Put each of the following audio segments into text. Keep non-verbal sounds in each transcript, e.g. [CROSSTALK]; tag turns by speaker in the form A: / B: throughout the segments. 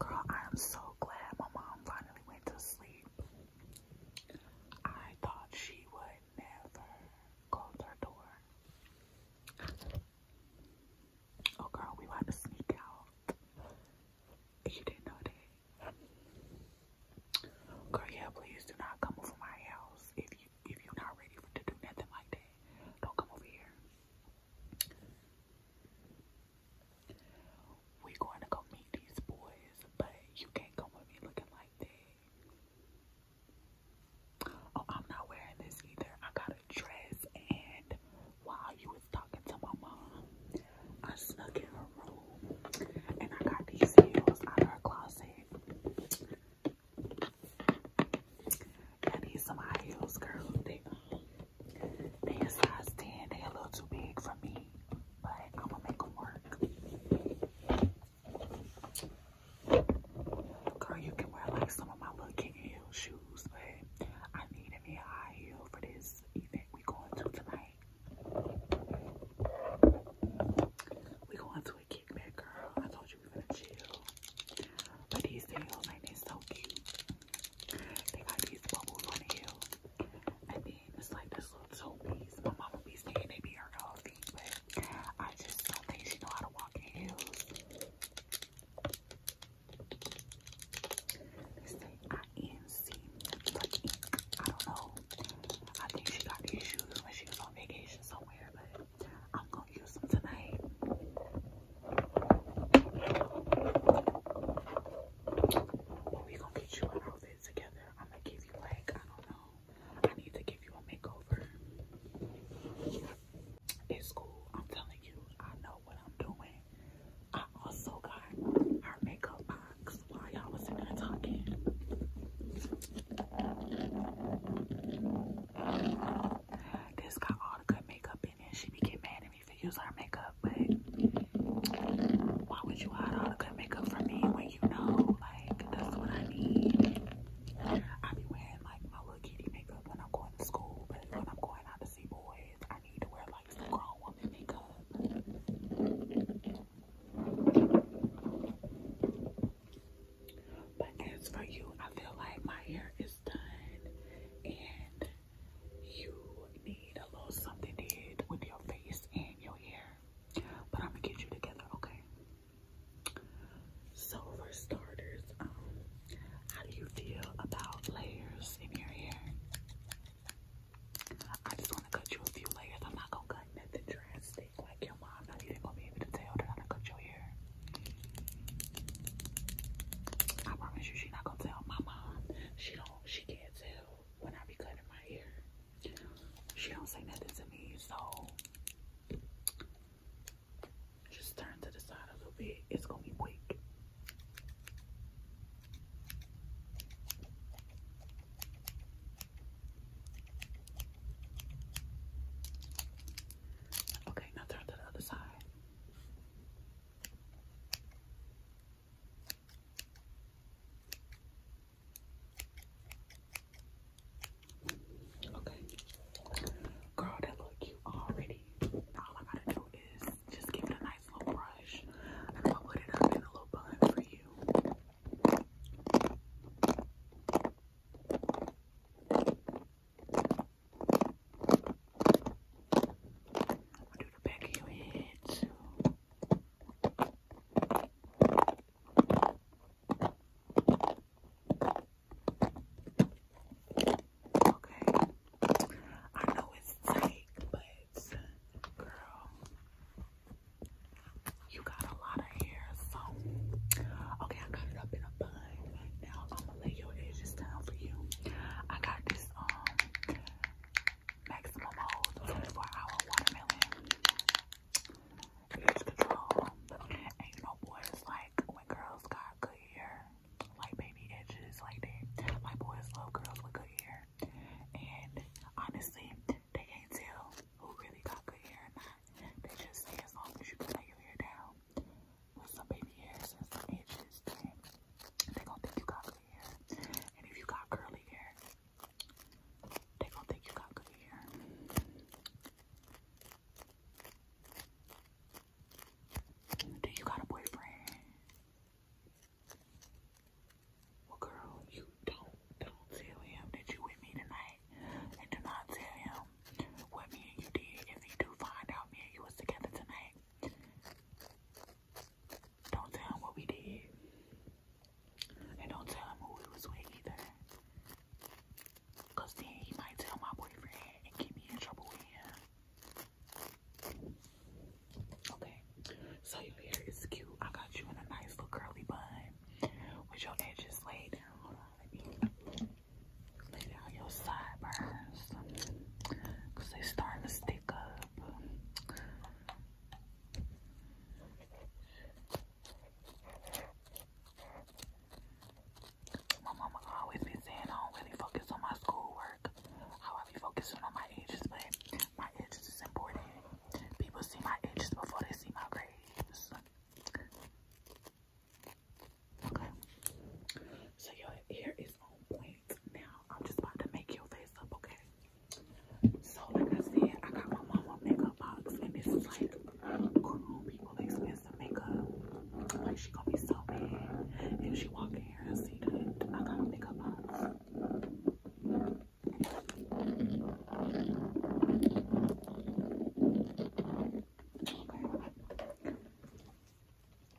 A: Girl, I am so glad my mom finally went to sleep. I thought she would never close her door. Oh, girl, we want to sneak out. You didn't know that. Girl, yeah, please do not come over my house if you if you're not ready to do nothing like that. Don't come over here. We're going to go meet these boys, but you can't come with me looking like that. Oh, I'm not wearing this either. I got a dress, and while you was talking to my mom, I snuck in her room, and I got these heels out of her closet. I some high heels, girl. They a size 10. They a little too big for me, but I'm gonna make them work. Girl, you can wear like some of my little kitten heel shoes, but I needed me a high heel for this event we going to tonight. We going to a kickback, girl. I told you we gonna chill. But these heels, like, they so cute. They got these bubbles on the heel. And then it's like this little two piece. My mama be saying they be her dog feet, but I just don't think she know how to walk in heels. They say INC, like ink. I don't know. I think she got these shoes when she was on vacation somewhere, but I'm gonna use them tonight we gonna get you an outfit together. I'm gonna give you like, I don't know. I need to give you a makeover. It's cool. I'm telling you, I know what I'm doing. I also got our makeup box while y'all was in there talking. This got all the good makeup in and she be getting mad at me for using her makeup. But why would you hide all the good makeup from me when you know, like, that's what I need? I be wearing like my little kitty makeup when I'm going to school, but when I'm going out to see boys, I need to wear like some grown woman makeup. But as for you, I feel like my hair is done and you need a little something to did with your face and your hair. But I'm gonna get you together, okay? So for starters, um, how do you feel about layers in your hair? I just want to cut you a few layers. I'm not gonna cut nothing drastic. Like your mom not even gonna be able to tell that I done cut your hair. I promise you, she not gonna tell my mom. She don't. She can't tell when I be cutting my hair. She don't say nothing to me, so just turn to the side a little bit. It's gonna be quick. Okay, now turn to the other side. Okay. Girl, that look cute already. All I gotta do is just give it a nice little brush and I'll put it up a little bun for you. I'll do the back of your head Okay. I know it's tight, but girl, you got a lot of hair, so okay, I got it up in a bun now I'm gonna lay your edges down for you. I got this um maximum hold 24 hour watermelon. It's control. And you know boys like when girls got good hair, like baby edges like that. Like boys love girls with good hair. And honestly, they can't tell who really got good hair or not. They just say as long as you can lay your hair down with some baby hairs and some edges, then they're going think you got good hair. And if you got curly hair, they're going think you got good hair. Do you got a boyfriend? Well, girl, you don't don't tell him that you with me tonight, and do not tell him what me and you did. If you do find out me and you was together tonight, don't tell him what we did. And don't tell him who we was with either. Cause then he might tell my boyfriend and get me in trouble with him. Okay, so your hair is cute. I got you in a nice little curly bun with your just lay down. on, let me lay down your sideburns because they starting to stick up. My mama always be saying I don't really focus on my schoolwork. How I be focusing on my edges, but my edges is important. People see my edges before they see my grades. Okay. So your hair is on point now. I'm just about to make your face up, okay? So like I said, I got my mama makeup box and this like grown people expensive makeup. Like she gonna be so bad if she walk in here and see that I got a makeup box.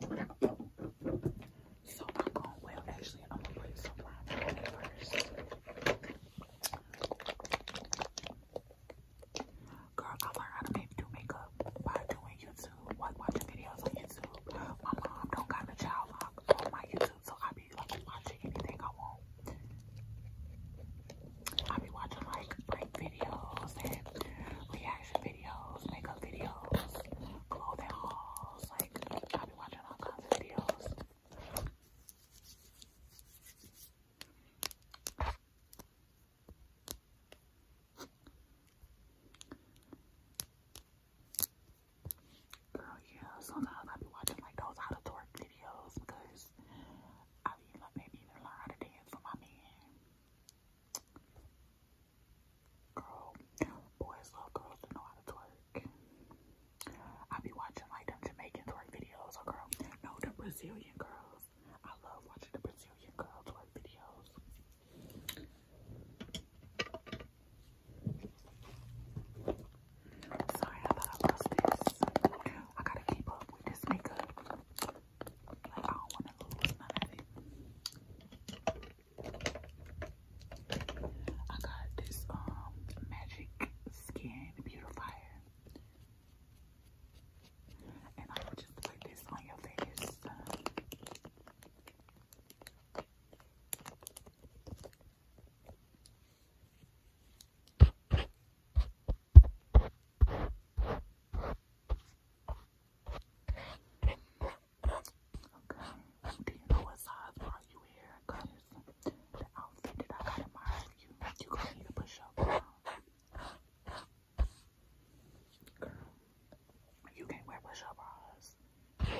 A: I'm going to Girl, I learned how to make do makeup by doing YouTube, like watching videos on YouTube. My mom don't got a child lock on my YouTube, so I be like watching anything I want. I'll be watching like break videos and reaction videos, makeup videos, clothing hauls. Like, I'll be watching all kinds of videos. Girl, yeah, sometimes I'll be watching like those out of twerk videos because I mean, like, maybe even learn how to dance for my man. Girl, boys love girls that know how to twerk. I be watching like them Jamaican twerk videos, or oh, girl, no, the Brazilian girls. I love watching the Brazilian girl twerk videos. Sorry, I thought I lost this. I gotta keep up with this makeup. I do got this um magic skin beautifier. And I will just put this on your face. Do you know what size are you wearing? Cause the outfit that I got in mind you, you gonna need to push up. Girl, you can't wear push-up bras.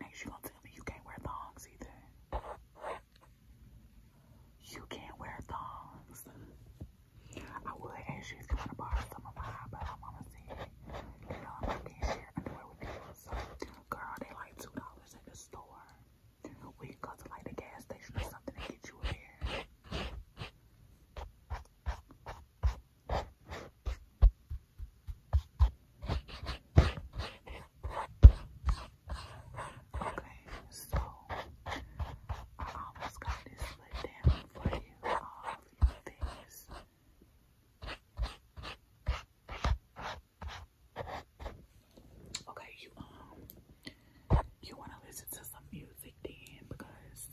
A: Next, you gonna tell me you can't wear thongs either. You can't wear thongs. I would ask you if you want to borrow some of mine, but I'm not getting share girl, they like $2 at the store. We can go to like the gas station or something and get you a pair. Okay, so I almost got this split down for you, Okay, you um, you wanna listen to some music then because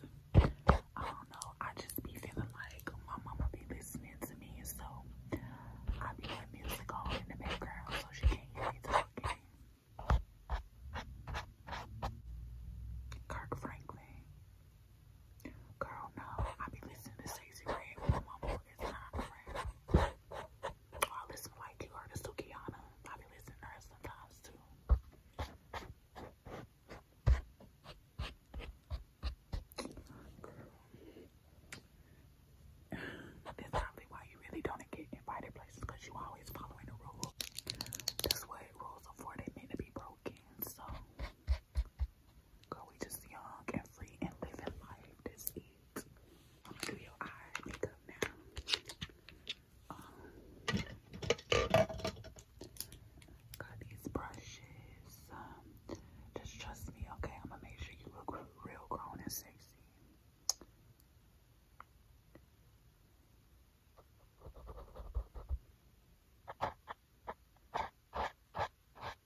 A: I don't know, I just be feeling like my mama be listening to me, so I be having music on in the background so she can't hear me talking. Kirk Franklin. Girl, no. I be listening to Stacey Red when my I listen like you heard of Sukiana. I be listening to her sometimes too. Girl. That's probably why you really don't get invited places because you always following the rules. That's what rules are for. They meant to be broken. So, girl, we just young and free and living life. That's it. I'm gonna do your eye makeup now. Um, got these brushes. Um, just trust me, okay? I'm gonna make sure you look real grown and sexy.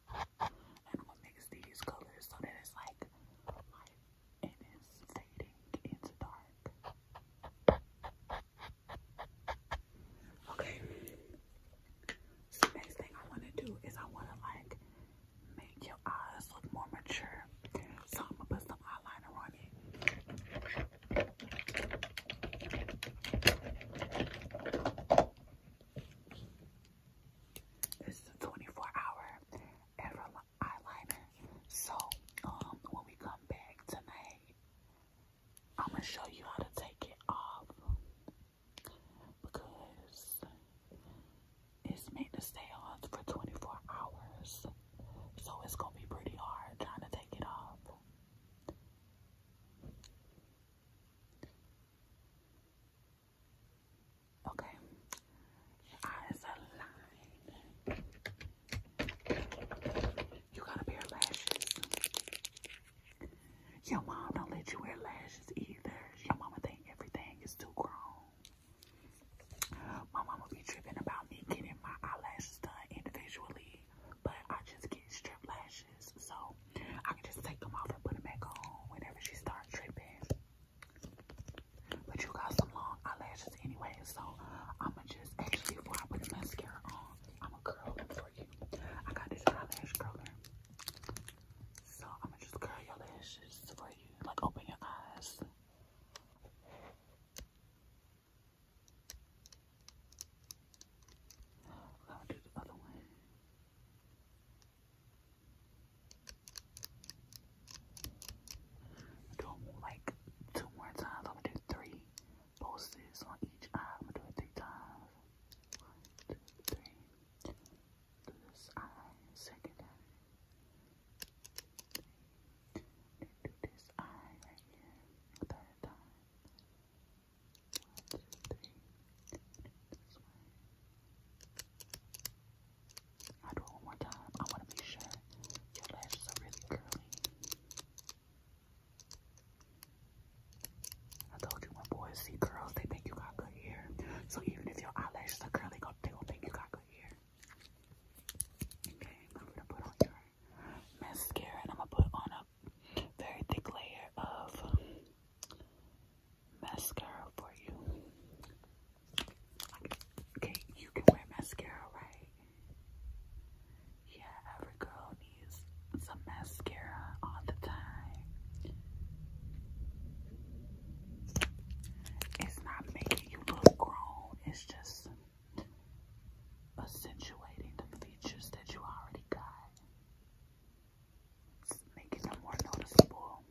A: And what makes these colors so that it's like light it's fading into dark. Okay. next thing I want to do is I want to like make your eyes look more mature. So I'm gonna put some eyeliner on you. This is a 24 hour ever eyeliner. So um when we come back tonight, I'm gonna show you how to take it off because it's made to stay on for 24 hours. So it's gonna be pretty hard trying to take it off. Okay, eyes are You gotta wear lashes. Your mom don't let you wear lashes either. Your mama think everything is too grown. My mama be tripping about me getting my eyelashes done individually, but I just get strip lashes, so I can just take them off and put them back on whenever she starts tripping. But you got some long eyelashes anyway, so I'ma just actually before I put the mascara on, I'ma curl them for you. I got this eyelash curler, so I'ma just curl your lashes for you. Like, open your eyes. I'll do the other one. Do like two more times. I'm gonna do three pulses on each eye. I'm gonna do it three times this eye, second eye. do this eye right here, third eye. One, two, three. This way. i do it one time. I want to make sure your lashes are really curly. I told you my boys see curls. they think you got good hair. So even if your eyelashes are curly, they going think you got good Okay, I'm gonna put on your mascara and I'm gonna put on a very thick layer of mascara for you. Okay, you can wear mascara, right? Yeah, every girl needs some mascara all the time. It's not making you look grown. It's just accentuating the features that you already got. It's making them more noticeable.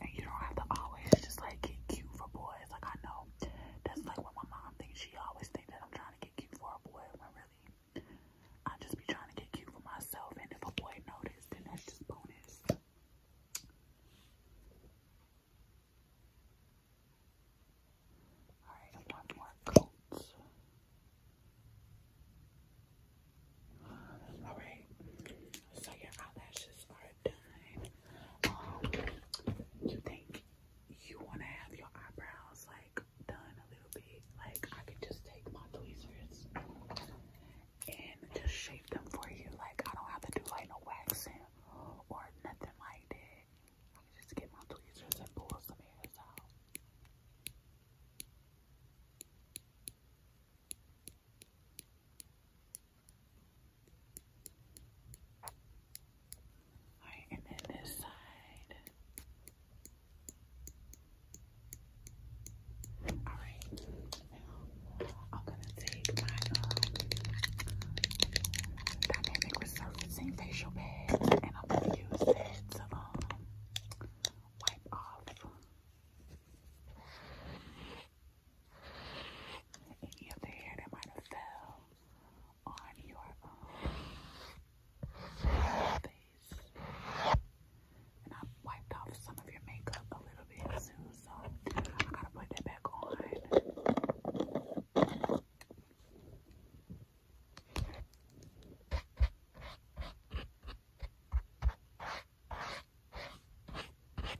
A: And you don't have to always just like get cute for boys. Like I know that's like what my mom thinks. She always thinks that I'm trying to get cute for a boy when really I will just be trying to get cute for myself, and if a boy notices, then that's just bonus. All right, one more coat. All right, so your eyelashes are done. Um, you think you want to have your eyebrows like done a little bit. Like I could just take my tweezers and just shape them for you. Like I don't have to do like no waxing or nothing like that. I can just get my tweezers and pull some hairs out. Alright, and then this side. Alright, I'm gonna take my uh, dynamic resurfacing facial pad and I'm gonna use that to um, wipe off any of the hair that might have fell on your um, face. And I wiped off some of your makeup a little bit so I gotta put that back on.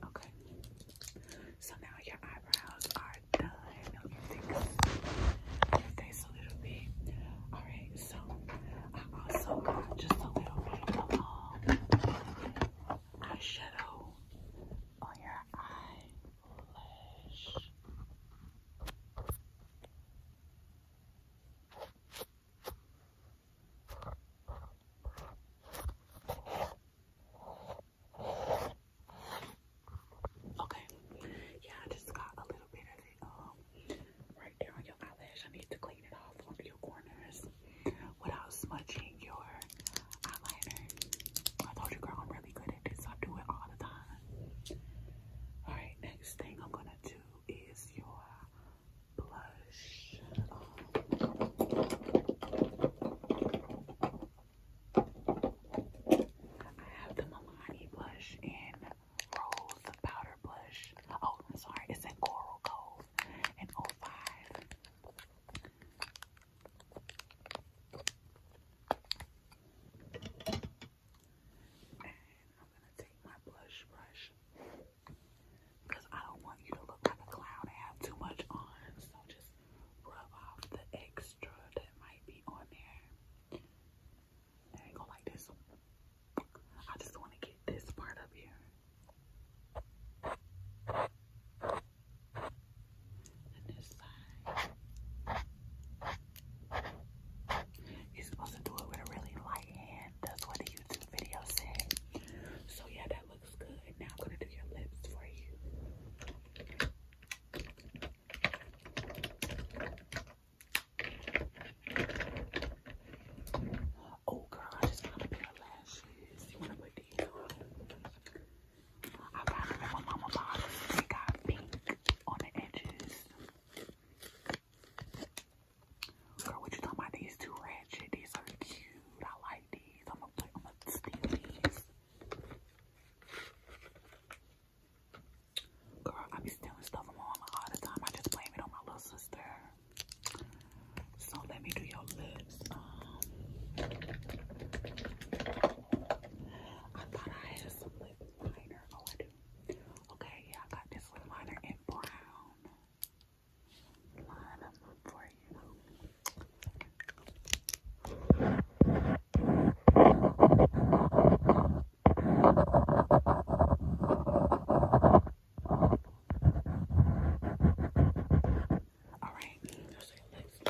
A: Okay. So now your eyebrows are done. If they, if they just a little bit. All right, so I also got just a little bit of um, eyeshadow on your eyelash. Okay. Yeah, I just got a little bit of it um, right there on your eyelash. I need to clean it off on your corners without smudging your eyeliner. I told you, girl, I'm really good at this. I do it all the time. All right, next thing I'm gonna do is your blush. I have the Milani blush in Rose Powder Blush. Oh, I'm sorry, it's in Coral Cove in '05. And I'm gonna take my blush brush because I don't want you to look like a clown and have too much on, so just rub off the extra that might be on there. I ain't gonna like this. I just wanna get this part up here. this side. You're supposed to do it with a really light hand. That's what the YouTube video said. So yeah, that looks good. Now I'm gonna do your lips for you. Oh girl, I just got a pair of lashes. You wanna put these on? I got my mama box. They got pink on the edges. Girl, what you talking about? These two ratchet. These are cute. I like these. I'm gonna put. I'm gonna steal these. Girl, I be stealing stuff from mom all the time. I just blame it on my little sister. So let me do your lips. Um, I thought I had some lip liner. Oh, I do. Okay, yeah, I got this lip liner in brown. Line up for you. Alright, those are your lips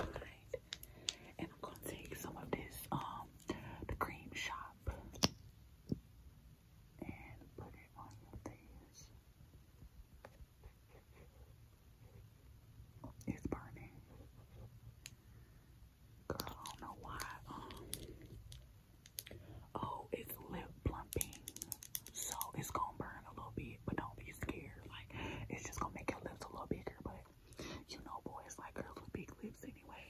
A: And I'm gonna take some of this, um, the cream shop and put it on your face. It's burning. Girl, I don't know why. Um, oh, it's lip plumping, so it's gonna burn a little bit, but don't be scared. Like, it's just gonna make your lips a little bigger, but you know, boys like girls with big lips anyway.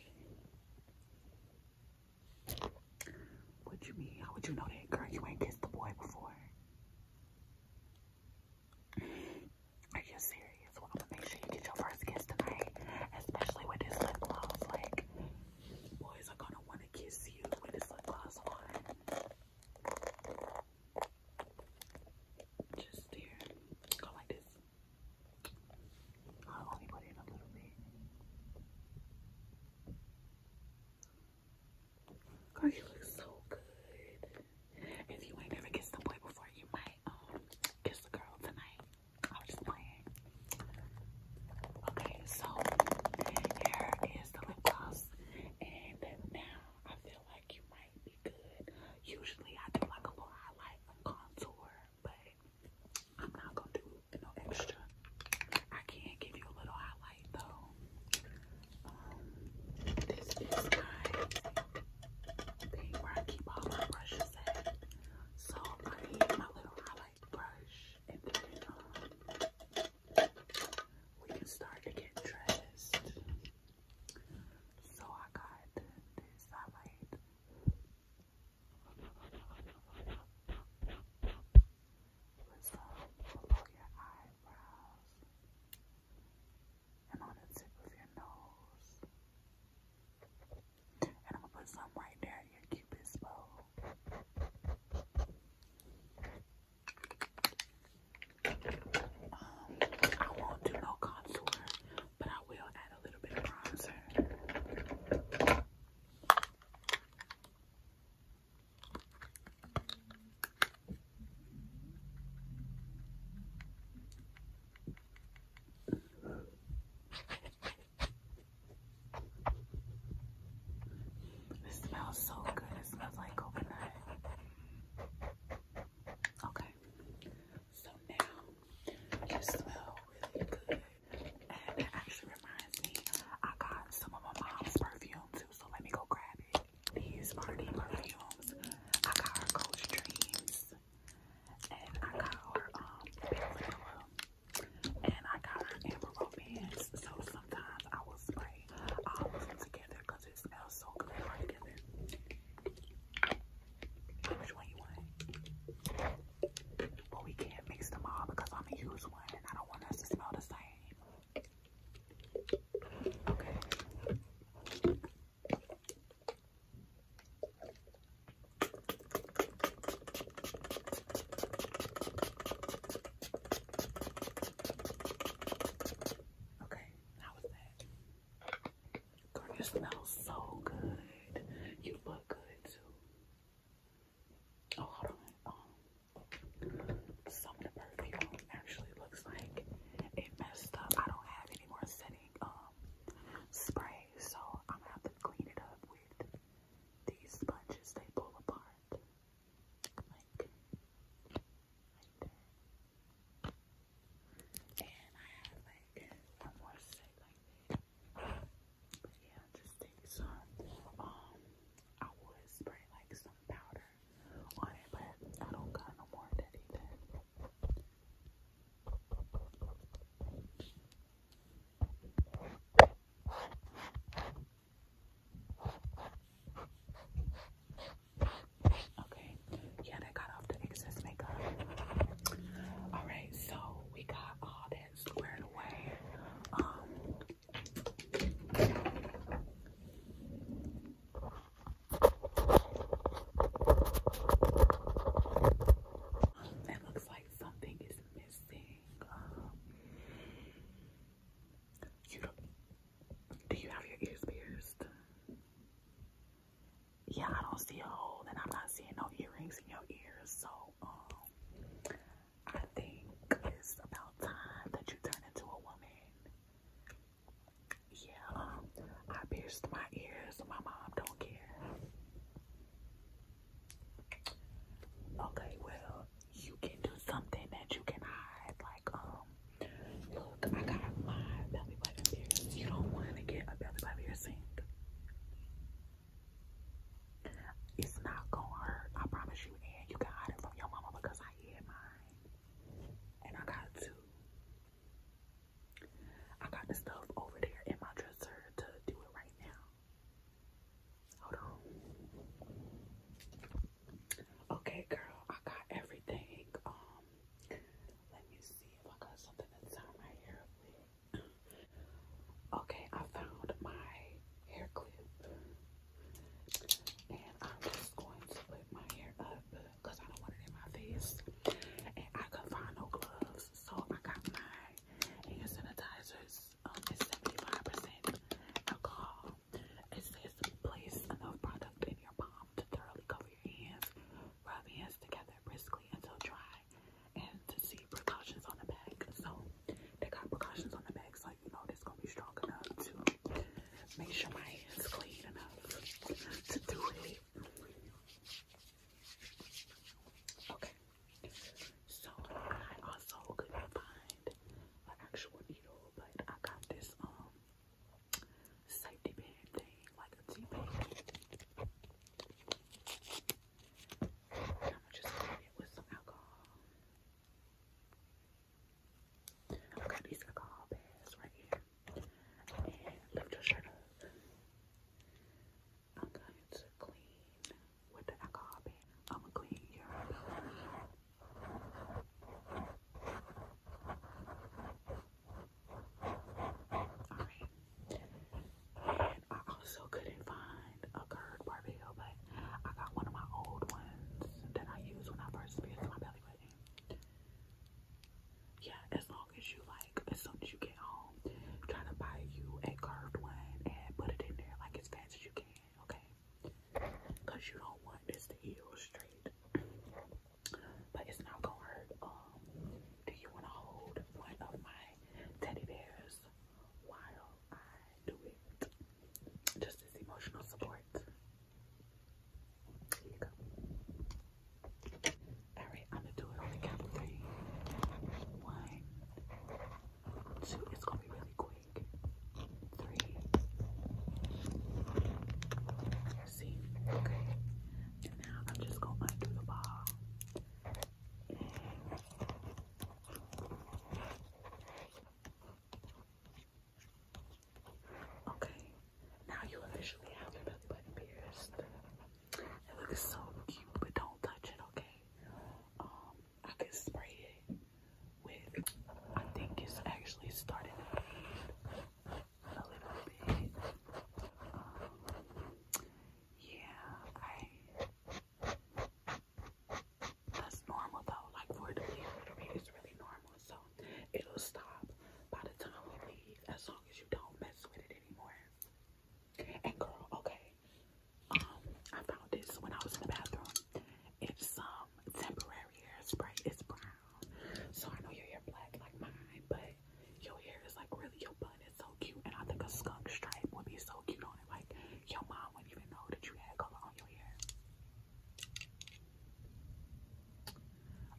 A: What you mean? How would you know that, girl? You ain't kissed the boy before. Are you serious? i One of to make sure you get your first kiss tonight, especially with this lip gloss. Like, boys are gonna wanna kiss you with this lip gloss on. Just here, go like this. I'll only put in a little bit. Girl, you look so good. If you ain't never kissed the boy before, you might um, kiss the girl tonight. I was just playing. Okay, so here is the lip gloss, and now I feel like you might be good. Usually, I do like a little highlight, a contour, but I'm not gonna do no extra. I can give you a little highlight though. Um, this is my thing where I keep all my brushes at. So I need my little highlight brush and then we can start to get dressed. So I got this highlight. Let's below your eyebrows and on the tip of your nose. And I'm gonna put some right there in your cupid's bow. Um, I won't do no contour, but I will add a little bit of bronzer. It smells so good. It smells like coconut. Okay. So now you smell really good. And it actually reminds me, I got some of my mom's perfume too. So let me go grab it. These are perfumes. I got her Coach Dreams and I got her um Barilla, and I got her Amber Romance. So sometimes I will spray all of them together because it smells so good right together. Which one you want? But we can't mix them all because I'm gonna use one and I don't want us to smell the same. Okay. Okay, how was that? Girl, you smell so good. You look good too. Oh, hold on. Um, some perfume actually looks like it messed up. I don't have any more setting um spray so I'm gonna have to clean it up with these sponges. They pull apart. And I have like one more like But yeah, just take some. Um, I would spray like some powder on it, but I don't got no more of that either. Okay, yeah, that got off the excess makeup. All right, so we got all that squared away. Um, it looks like something is missing. Um, don't, do you have your ears pierced? Yeah, I don't see a hole, and I'm not seeing no earrings in your ears. So, um, I think it's about time that you turn into a woman. Yeah, I pierced my ears. My mom don't care. Okay, well, you can do something that you can hide. Like, um, look, I got my belly button pierced. You don't want to get a belly button piercing. It's not gonna hurt. I promise you. And you can hide it from your mama because I hid mine. And I got two. I got the stuff over there in my dresser to do it right now. Hold on. Okay, girl, I got everything. Um, let me see if I got something that's on my hair [CLEARS THROAT] Okay, I found my hair clip, and I'm just going to put my hair up because I don't want it in my face. And I can not find no gloves, so I got my hand sanitizers um, is 75% alcohol. It says place enough product in your palm to thoroughly cover your hands. Rub hands together briskly until dry. And to see precautions on the back. So they got precautions on the back, so you know it's gonna be strong enough to make sure my hands clean enough to do it. Okay. So I also couldn't find an actual needle, but I got this um safety band thing, like a T band. And I'm gonna just it with some alcohol. I've got these alcohol bags right here. I'm going to clean with the alcohol I'm gonna clean your Alright. And I also couldn't find a curved barbell, but I got one of my old ones that I used when I first pierced my belly button yeah, as long as you like, as soon as you get home, trying to buy you a curved one and put it in there like as fast as you can, okay? Because you don't want this to heal straight. But it's not gonna hurt. Um, do you want to hold one of my teddy bears while I do it? Just as emotional support. Here you go. Alright, I'm gonna do it on the count of it's gonna be really quick. Three. See? Okay. now I'm just gonna undo the ball. Okay, now you officially have your belly button pierced. It looks so cute, but don't touch it, okay? Um, I can spray it with, I think it's actually starting to bleed a little bit. Um, yeah, I, that's normal though, like for it to bleed a it's really normal. So it'll stop by the time we leave as long as you don't mess with it anymore. And girl, okay. Um, I found this when I was in the bathroom. It's some um, temporary hairspray. It's brown. So I know your hair black like mine, but your hair is like really your bun is so cute. And I think a skunk stripe would be so cute on it. Like your mom wouldn't even know that you had color on your hair.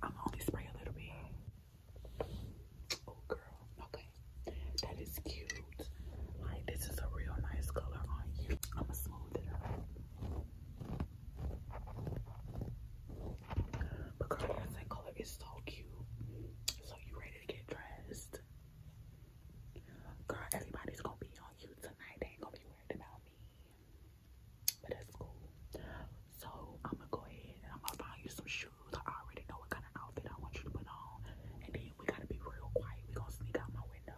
A: I'm only spray a little bit. Oh girl, okay. That is cute. Like this is a real nice color on you. I'ma smooth it out. But girl, that color is so cute. So you ready to get dressed? Girl, everybody's gonna be on you tonight. They ain't gonna be worried about but that's cool. So I'm gonna go ahead and I'm gonna find you some shoes. I already know what kind of outfit I want you to put on. And then we gotta be real quiet. We're gonna sneak out my window.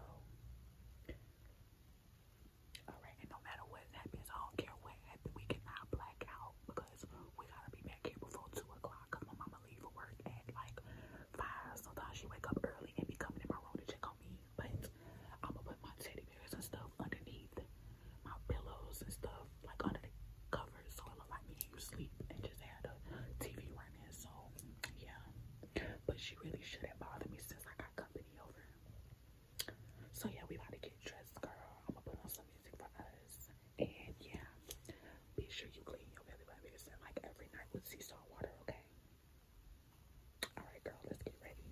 A: Alright, and no matter what happens, I don't care what happens, we cannot black because we gotta be back here before two o'clock. Cause my mama leave for work at like five. Sometimes she wake up early and be coming in my room to check on me. But I'm gonna put my teddy bears and stuff underneath my pillows and stuff, like under the covers, so I don't like me and you sleep and just have a TV running. So yeah, but she really shouldn't bother me since I got company over. So yeah, we about to get dressed, girl. I'm gonna put on some music for us, and yeah, be sure you clean your belly button because like every night with sea salt water, okay? All right, girl, let's get ready.